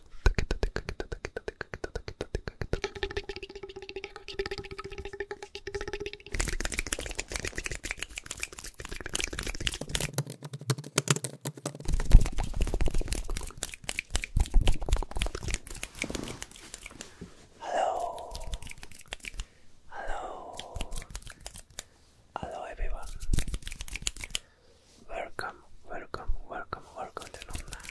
Hello, hello, hello everyone. Welcome welcome, welcome, welcome, welcome で飲んない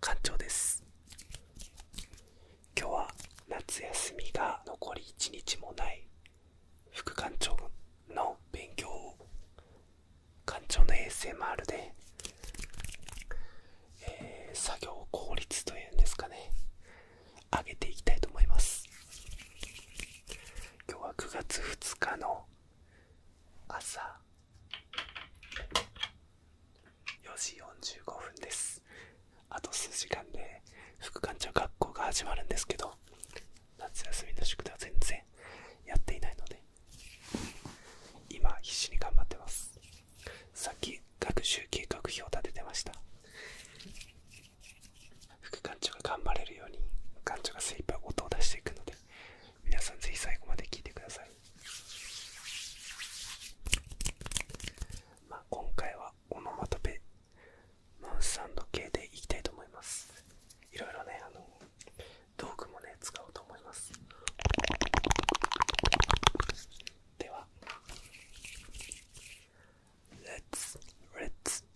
館長です今日は夏休みが残り1日もない副館長の勉強を館長の ASMR で、えー、作業効率というんですかね上げていきたいと思います今日は9月2日の朝4時45分ですあと数時間で副館長学校が始まるんですけど夏休みの宿題は全然やっていないので今必死に頑張ってますさっき学習計画表立ててました副館長が頑張れるように館長が精一杯音を出していくので皆さんぜひ最後まで聴いてください、ま今回はオノマトペマウス系でいきたいと思いますいろいろねあの道具もね使おうと思いますでは Let's, l e